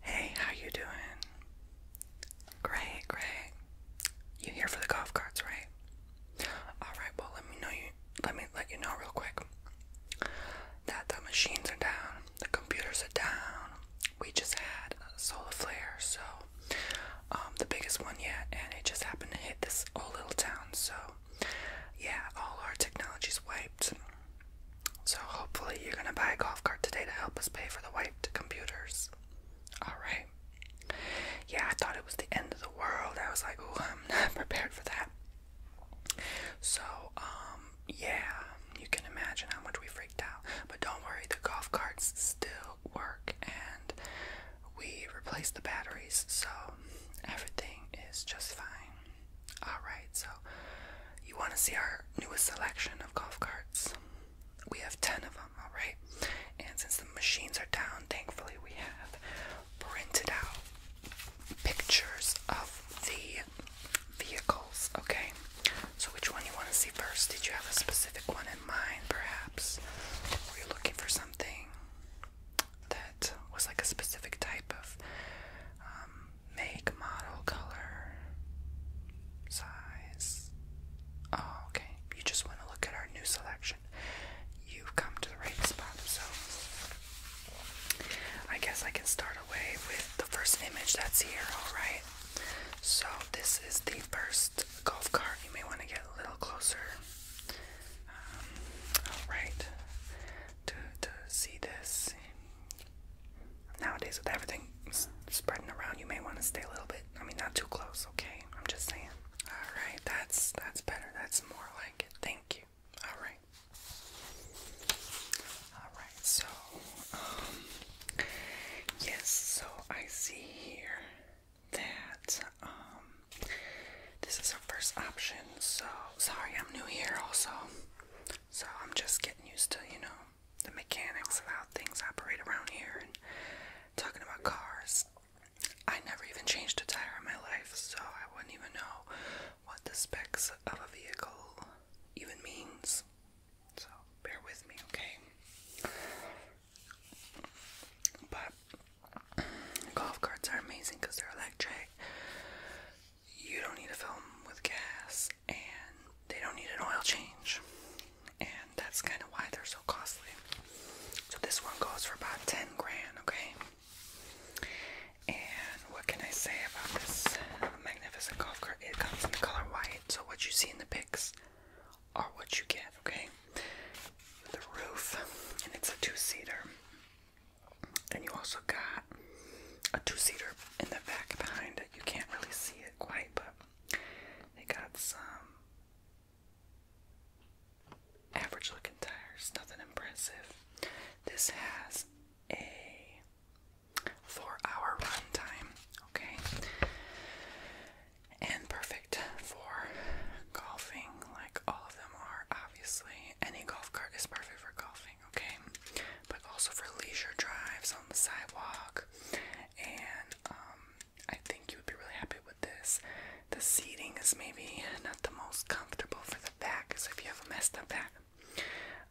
Hey, how you doing? Great, great. You here for the golf carts, right? All right. Well, let me know you. Let me let you know real quick that the machines are down, the computers are down. We just had a solar flare, so um, the biggest one yet, and it just happened to hit this old little town. So yeah, all our technology's wiped. So hopefully you're gonna buy a golf cart today to help us pay for the wiped computers. Alright. Yeah, I thought it was the end of the world. I was like, oh, I'm not prepared for that. So, um, yeah, you can imagine how much we freaked out. But don't worry, the golf carts still work and we replaced the batteries, so everything is just fine. Alright, so you want to see our newest selection of golf carts? We have 10 of them, alright? And since the machines are down, thankfully we have printed out pictures of the vehicles, okay? So, which one you want to see first? Did you have a specific one in mind, perhaps? Were you looking for something? that was like a specific type of um, make, model, color, size. Oh, okay. You just want to look at our new selection. You've come to the right spot. So I guess I can start away with the first image that's here, alright? So this is the first golf cart. You may want to get a little closer. Um, Alright. To, to see this. Nowadays, with everything spreading around, you may want to stay a little bit. I mean, not too close, okay? I'm just saying. Alright, that's that's better. That's more like it. Thank you. Alright. Alright, so, um, yes, so I see here that um, this is our first option. So sorry, I'm new here also. So I'm just getting used to you know the mechanics of how things operate around here and talking about cars. I never even changed a tire in my life, so I wouldn't even know what the specs of a vehicle even means. So bear with me, okay? But golf carts are amazing because they're electric. You don't need to fill them with gas, and they don't need an oil change. And that's kind of why they're so costly. So this one goes for about 10 grand, okay? And what can I say about this magnificent golf cart? It comes in the color white, so what you see in the pics are what you get, okay? The roof, and it's a two seater. And you also got a two seater in the back behind it. You can't really see it quite, but they got some average looking tires, nothing impressive. This has a four hour run okay? and perfect for golfing, like all of them are, obviously. Any golf cart is perfect for golfing, okay? But also for leisure drives on the sidewalk. And um, I think you would be really happy with this. The seating is maybe not the most comfortable for the back, so if you have a messed up back,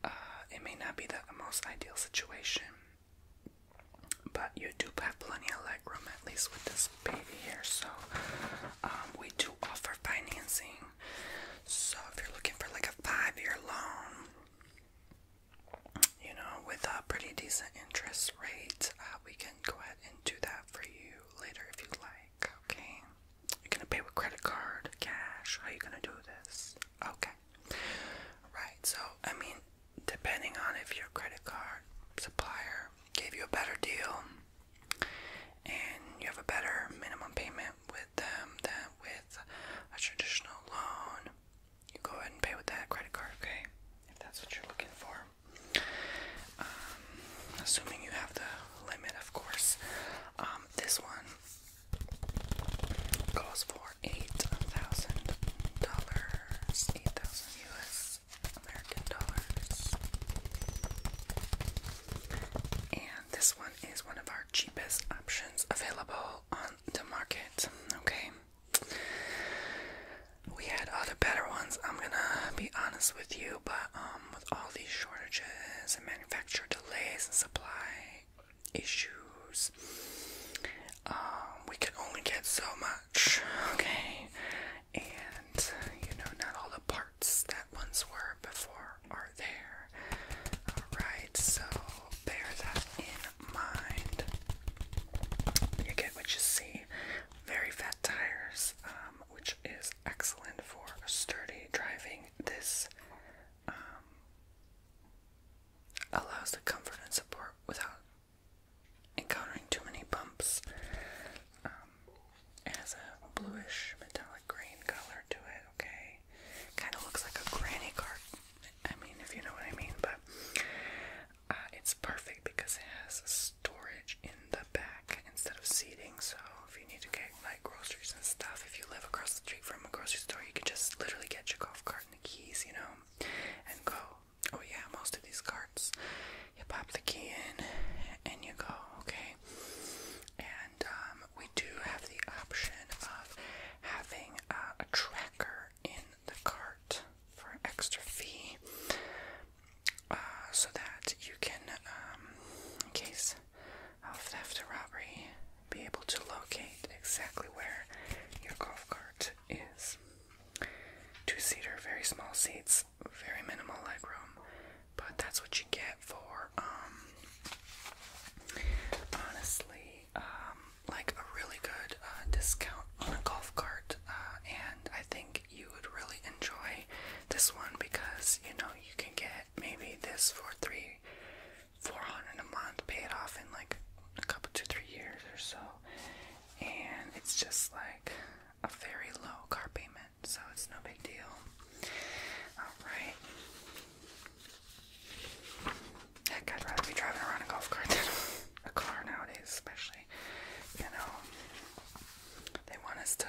uh, it may not be the most ideal situation. But you do have plenty of leg room, at least with this baby here. So um, we do offer financing. So if you're looking for like a five-year loan, you know, with a pretty decent interest rate, uh, we can go ahead and do that for you later if you like. Okay, you're gonna pay with credit card, cash. How you gonna do this? Okay, right. So I mean, depending on if your credit card supplier gave you a better deal and you have a better minimum payment with them than with a traditional loan, you go ahead and pay with that credit card, okay? If that's what you're looking for. Um, assuming you have the limit, of course. Um, this one calls for $8,000, 8000 US. American dollars. And this one is one of our cheapest options available on the market. Okay. We had other better ones, I'm gonna be honest with you, but um with all these shortages and manufacturer delays and supply issues, um, we can only get so much, okay? And, you know, not all the parts that once were before are there. Alright, so bear that in mind. You get what you see. Very fat tires, um, which is excellent for sturdy driving. This um, allows the comfort and support without encountering too many bumps. Um, it has a bluish metallic green color to it, okay? Kind of looks like a granny cart. I mean, if you know what I mean, but uh, it's perfect because it has storage in the back instead of seating. So if you need to get like groceries and stuff, if you live across the street from a grocery store, you can just literally get your golf cart and the keys, you know, and go oh yeah, most of these carts. you pop the key in and you go, okay? And um, we do have the option of having uh, a tracker in the cart for extra fee uh, so that you can, um, in case of theft or robbery, be able to locate exactly where your golf cart is. Two seater, very small seats, very minimal legroom, but that's what you get for um honestly um like a really good uh, discount on a golf cart uh, and I think you would really enjoy this one because you know you can get maybe this for three four hundred a month, pay it off in like a couple two three years or so, and it's just like a very low car payment, so it's no big deal. Alright. Heck, I'd rather be driving around a golf cart than a car nowadays, especially. You know, they want us to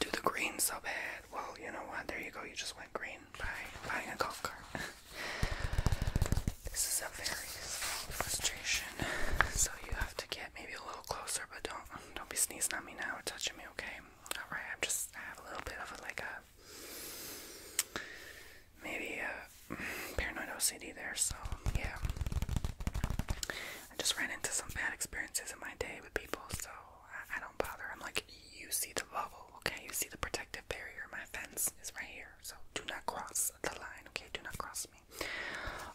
do the green so bad. Well, you know what? There you go. You just went green by buying a golf cart. This is a very small frustration, so you have to get maybe a little closer, but don't don't be sneezing on me now or touching me, okay? All right, I'm just I have a little bit of a, like a maybe a paranoid OCD there, so yeah. I just ran into some bad experiences in my day with people, so I don't bother. I'm like, you see the bubble, okay? You see the protective barrier. My fence is right here. So do not cross the line, okay? Do not cross me.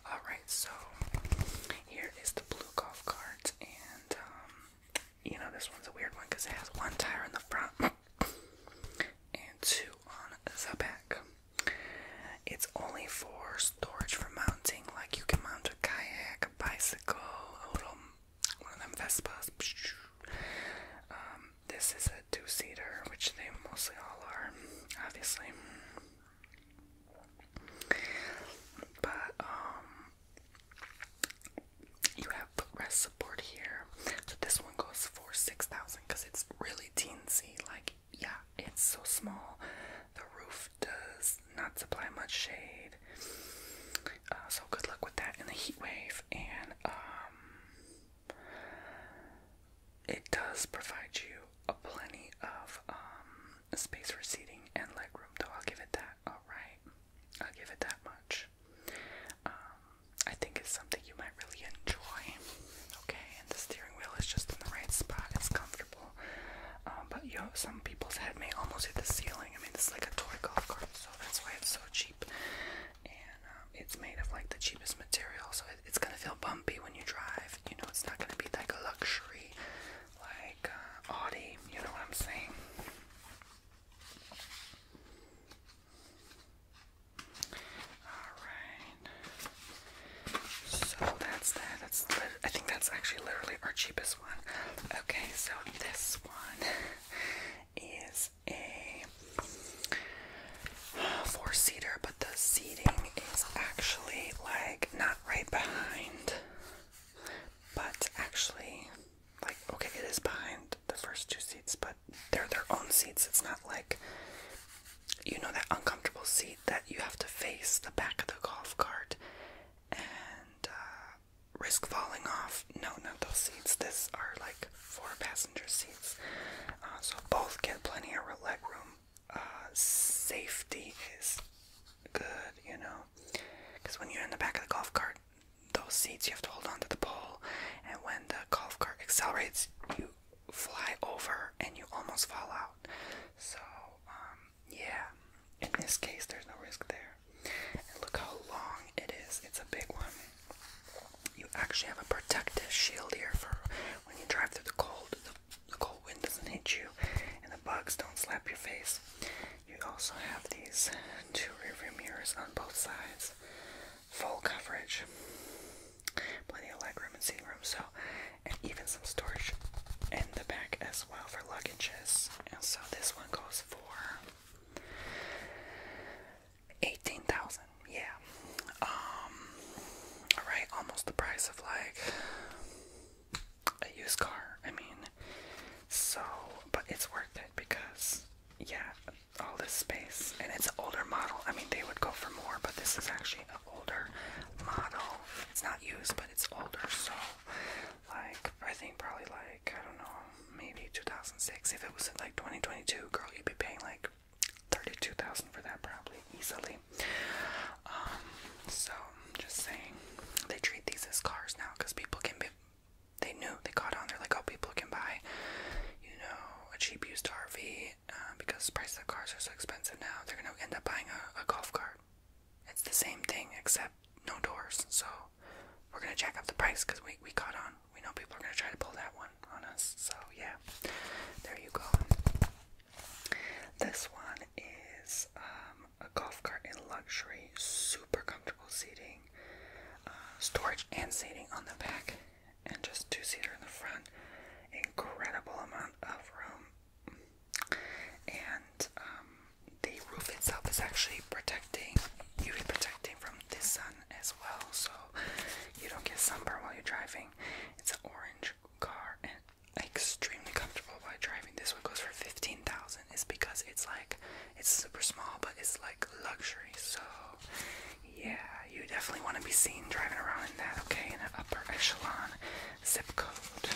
Alright, so here is the blue golf cart. And, um, you know, this one's a weird one because it has one tire in the front and two on the back. It's only for storage for mounting, like you can mount a kayak, a bicycle, a little one of them Vespas. Um, this is a two seater, which they mostly all are, obviously. But, um, you have footrest support here. So this one goes for 6000 because it's really teensy. Like, yeah, it's so small. The roof does not supply much shade. Uh, so good luck with that in the heat wave. And, um, it does provide you a plenty of um, space for seating and legroom, though. I'll give it that. All right, I'll give it that much. Um, I think it's something you might really enjoy. Okay, and the steering wheel is just in the right spot. It's comfortable, um, but you know, some people's head may almost hit the ceiling. I mean, it's like a toy golf cart, so that's why it's so cheap and um, it's made of like the cheapest material, so it's gonna feel bumpy when you drive. You know, it's not gonna be like a luxury, like uh, Audi. You know what I'm saying? All right. So that's that. That's I think that's actually literally our cheapest one. Okay, so this one is a four seater, but the seating is actually like not right behind, but actually, like, okay, it is behind the first two seats, but they're their own seats. It's not like you know that uncomfortable seat that you have to face the back of the golf cart and uh, risk falling off no, not those seats. This are like four passenger seats, uh, so both get plenty of leg room. Uh, safety is good, you know, because when you're in the back of the golf cart, those seats you have to hold onto the pole, and when the golf cart accelerates, you fly over and you almost fall out. So, um, yeah, in this case, there's no risk there look how long it is. It's a big one. You actually have a protective shield here for when you drive through the cold. The, cold wind doesn't hit you, and the bugs don't slap your face. You also have these two rearview mirrors on both sides, full coverage, plenty of legroom and seating room. So, and even some storage in the back as well for luggages. And so this one goes for Eighteen thousand, yeah. Um, all right, almost the price of like a used car. I mean, so but it's worth it because yeah, all this space and it's an older model. I mean, they would go for more, but this is actually an older model. It's not used, but it's older, so like I think probably like I don't know maybe 2006. If it was in like 2022, girl, you'd be paying like 32,000 for that probably easily. Um, so just saying, they treat these as cars now because people can be. They knew they caught on. They're like, oh, people can buy, you know, a cheap used RV uh, because the price of cars are so expensive now. They're gonna end up buying a golf cart. It's the same thing except no doors. So we're gonna jack up the price because we, we caught on. We know people are gonna try to pull that one on us. So yeah, there you go. This one is um, a golf cart in luxury, super comfortable seating, uh, storage and seating on the back, and just two seater in the front. Incredible amount of room, and um, the roof itself is actually protecting you, protecting from the sun as well, so you don't get sunburn while you're driving. It's an orange car and extremely comfortable while driving. This one goes for fifteen thousand. It's because it's like it's super small, but it's like luxury. So yeah, you definitely want to be seen driving around in that. Okay, in an upper echelon zip code.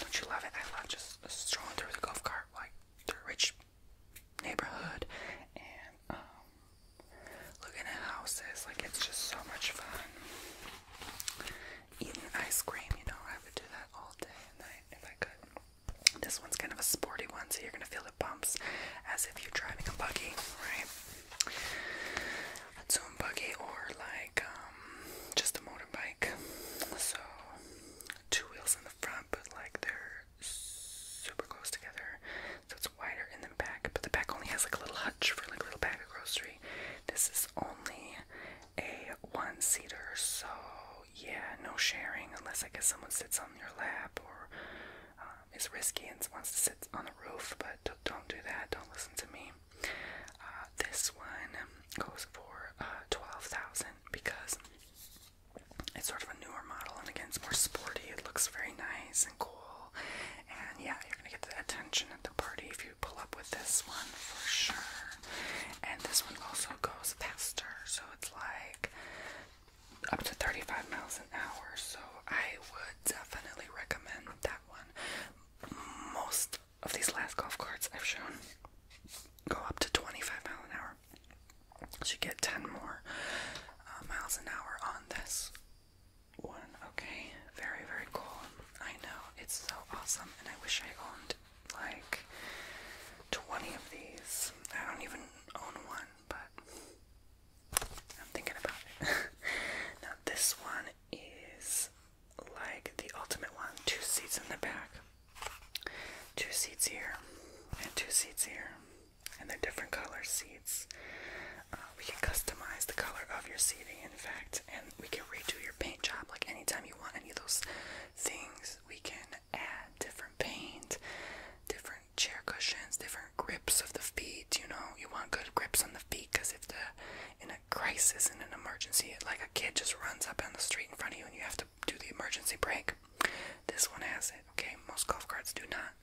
Don't you love it? I love just strolling through the golf cart their rich neighborhood and um looking at houses like it's just so much fun eating ice cream you know I would do that all day and night if I could this one's kind of a sporty one so you're gonna feel the bumps as if you're driving a buggy right a zoom buggy or like um just a motorbike so two wheels in the front, but like they're super close together, so it's wider in the back. But the back only has like a little hutch for like a little bag of grocery. This is only a one seater, so yeah, no sharing unless I guess someone sits on your lap or um, is risky and wants to sit on the roof. But don't do that. Don't listen to me. Uh, this one goes for uh, 12000 because it's sort of a newer model, and again, it's more sporty. It looks very nice and cool. And yeah, you're gonna get the attention at the party if you pull up with this one for sure. And this one also goes faster, so it's like up to 35 miles an hour. So I would definitely recommend that one. Most of these last golf carts I've shown go up to 25 miles an hour. Should get 10 more uh, miles an hour on this one. Okay, very, very cool. I know, it's so awesome, and I wish I owned like 20 of these. I don't even own one, but I'm thinking about it. now, this one is like the ultimate one. Two seats in the back, two seats here, and two seats here, and they're different color seats. Uh, we can customize the color of your seating, in fact, and we can redo your paint job. Like anytime you want any of those things, we can add different paint, different chair cushions, different grips of the feet. You know, you want good grips on the feet because if the in a a crisis and an emergency, like a kid just runs up on the street in front of you and you have to do the emergency brake. This one has it, okay? Most golf carts do not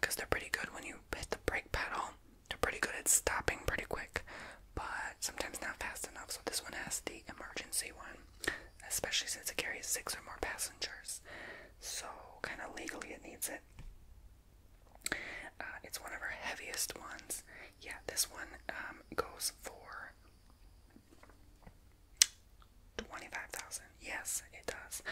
because um, they're pretty good when you hit the brake pedal. They're pretty good at stopping pretty quick, but sometimes not fast enough. So this one has the emergency one, especially since it carries six or more passengers. So kind of legally it needs it. Uh, it's one of our heaviest ones yeah, this one um, goes for twenty-five thousand. Yes, it does.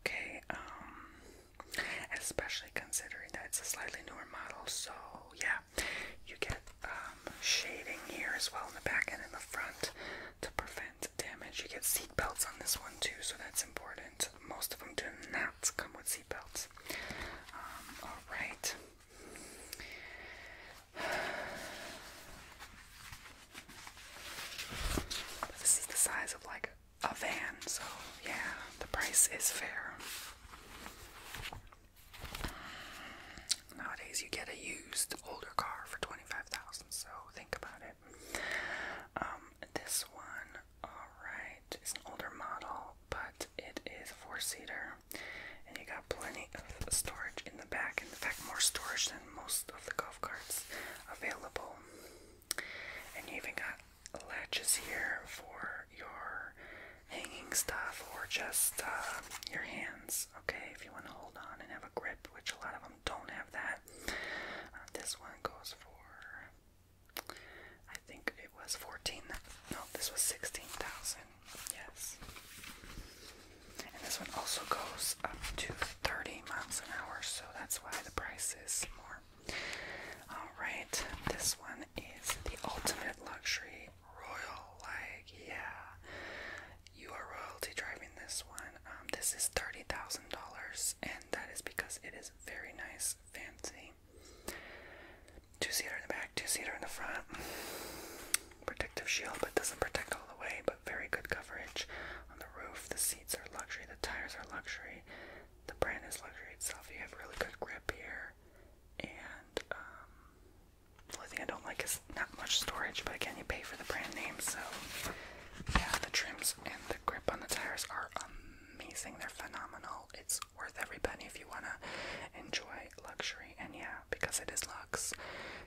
Okay, um, especially considering that it's a slightly newer model, so yeah, you get um, shading here as well in the back and in the front to prevent damage. You get seat belts on this one too, so that's important. Most of them do not come with seat belts. Um, all right this is the size of like a van, so yeah, the price is fair. Nowadays, you get a used older car for twenty-five thousand, so think about it. Um, this one, all right, is an older model but it is four seater and you got plenty of storage in the back. In fact, more storage than most of the golf carts available. And you even got latches here for your hanging stuff or just uh, your hands, okay, if you want to hold on and have a grip, which a lot of them don't have that. Uh, this one goes for I think it was 14. No, this was 16,000. Yes. And this one also goes up to 30 miles an hour, so that's why the price is more. Alright, this one is the ultimate luxury royal. Like, yeah, you are royalty driving this one. Um, this is $30,000, and that is because it is very nice, fancy. Two-seater in the back, two-seater in the front. Protective shield, but doesn't protect all the way, but very good coverage. On the roof, the seats are luxury, the tires are luxury, the brand is luxury itself. You have really good grip here. And um, the thing I don't like is not much storage, but again, you pay for the brand name, so yeah, the trims and the grip on the tires are amazing. They're phenomenal. It's worth every penny if you wanna enjoy luxury. And yeah, because it is lux.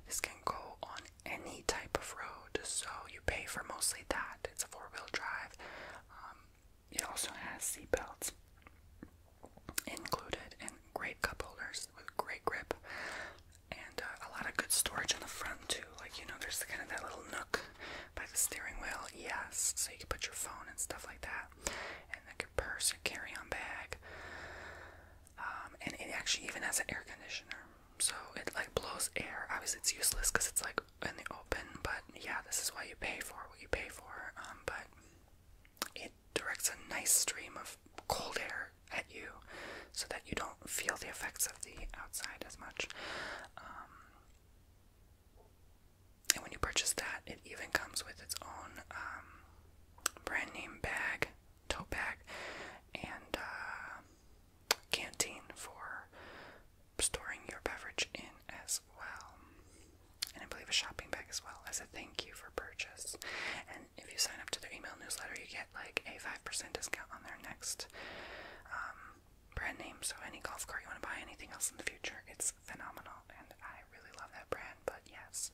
this can go on any type of road. So you pay for mostly that. It's a four-wheel drive. Um, it also has seat belts included and great cup holders with great grip and uh, a lot of good storage in the front too. Like you know, there's kind of that little nook by the steering wheel. Yes, so you can put your phone and stuff like that and like a purse or carry-on bag. Um, and it actually even has an air conditioner, so it like blows air. Obviously, it's useless because it's like in the open. But yeah, this is why you pay for what you pay for. Um, but it directs a nice stream of cold air at you, so that you don't feel the effects of the outside as much. Um, and when you purchase that, it even comes with its own um, brand name bag, tote bag, and uh, canteen for storing your beverage in as well. And I believe a shopping bag as well as a thank you for purchase. And if you sign up to their email newsletter, you get like a 5% discount on their next um, brand name. So any golf cart you want to buy, anything else in the future, it's phenomenal, and I really love that brand. But yes,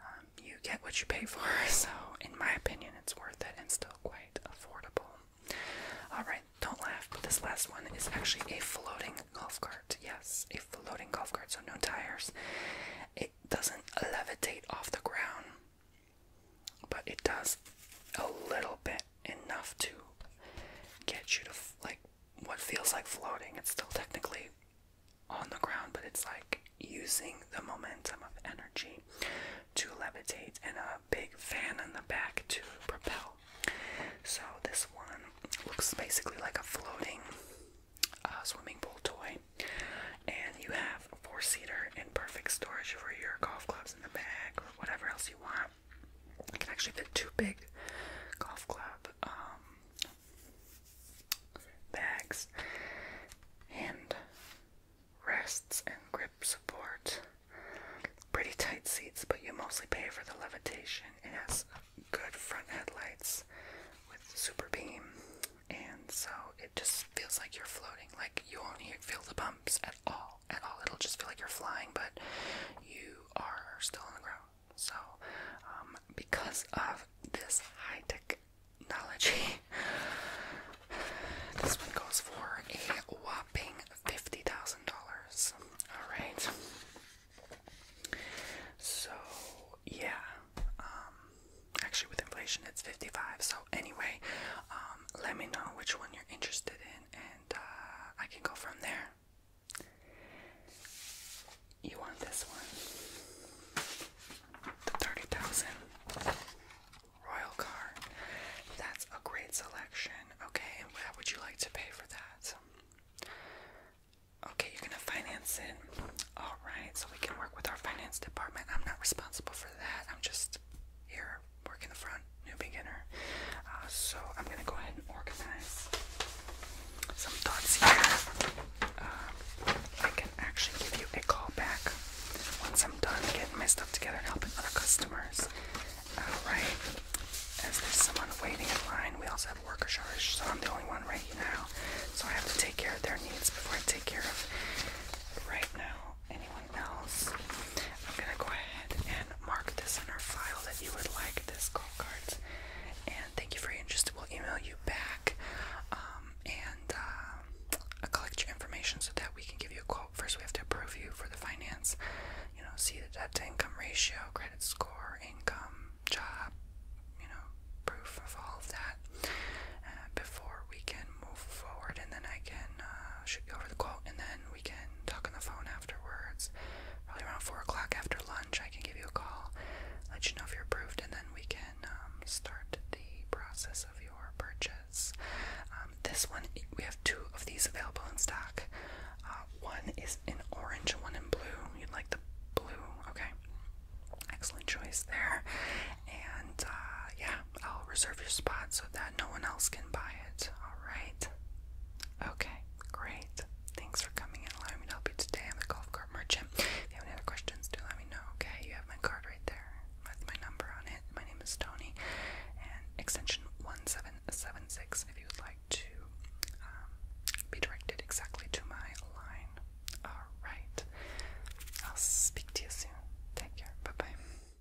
um, you get what you pay for. So in my opinion, it's worth it and still quite affordable. All right, don't laugh. But this last one is actually a floating golf cart. Yes, a floating golf cart. So no tires. It doesn't levitate off the ground, but it does a little bit enough to get you to like what feels like floating. It's still technically on the ground, but it's like using the momentum of energy to levitate and a big fan in the back to propel. So this one looks basically like a floating uh, swimming pool toy, and you have a four-seater in perfect storage for your golf clubs in the bag or whatever else you want can actually fit two big golf club um, bags and rests and grip support. Pretty tight seats, but you mostly pay for the levitation. It has good front headlights with super beam, and so it just feels like you're floating. Like you only feel the bumps at all at all. It'll just feel like you're flying, but you are still on the ground. So, um, because of this high tech technology, this one goes for a whopping $50,000. Alright. So, yeah. Um, actually, with inflation, it's 55 So, anyway, um, let me know which one you're interested in, uh, I can go from there. You want this one? The 30,000 Royal Car. That's a great selection. Okay, and would you like to pay for that? Okay, you're gonna finance it. Alright, so we can work with our finance department. I'm not responsible for that. I'm just here work in the front, new beginner. Uh, so I'm gonna go ahead and organize some thoughts here. Uh, I can actually give you a call back once I'm done getting my stuff together and helping other customers. Alright, as there's someone waiting in line, we also have workers worker so I'm the only one right now. So I have to take care of their needs before I take care of right now anyone else. I'm gonna go ahead and mark this in our file that you would like this call cards. And thank you for your interest. We'll email you back um, and uh, collect your information so that we can give you a quote. First, we have to approve you for the finance. You know, see the debt to income ratio, credit score, income, job. You know, proof of all of that uh, before we can move forward, and then I can uh, shoot you over the quote, and then we can talk on the phone afterwards. Probably around 4 o'clock after lunch, I can give you a call, let you know if you're approved, and then we can um, start the process of your purchase. Um, this one, we have two of these available in stock. Uh, one is in orange one in blue. You'd like the blue, okay? Excellent choice there. And uh, yeah, I'll reserve your spot so that no one else can buy it. Alright? Okay, great. Thanks for coming and allowing me help you today. i golf cart merchant. If you have any other questions, do let me know, okay? You have my card right there with my number on it. My name is Tony, and extension 1776 if you would like to um, be directed exactly to my line. Alright. I'll speak to you soon. Take care. Bye bye.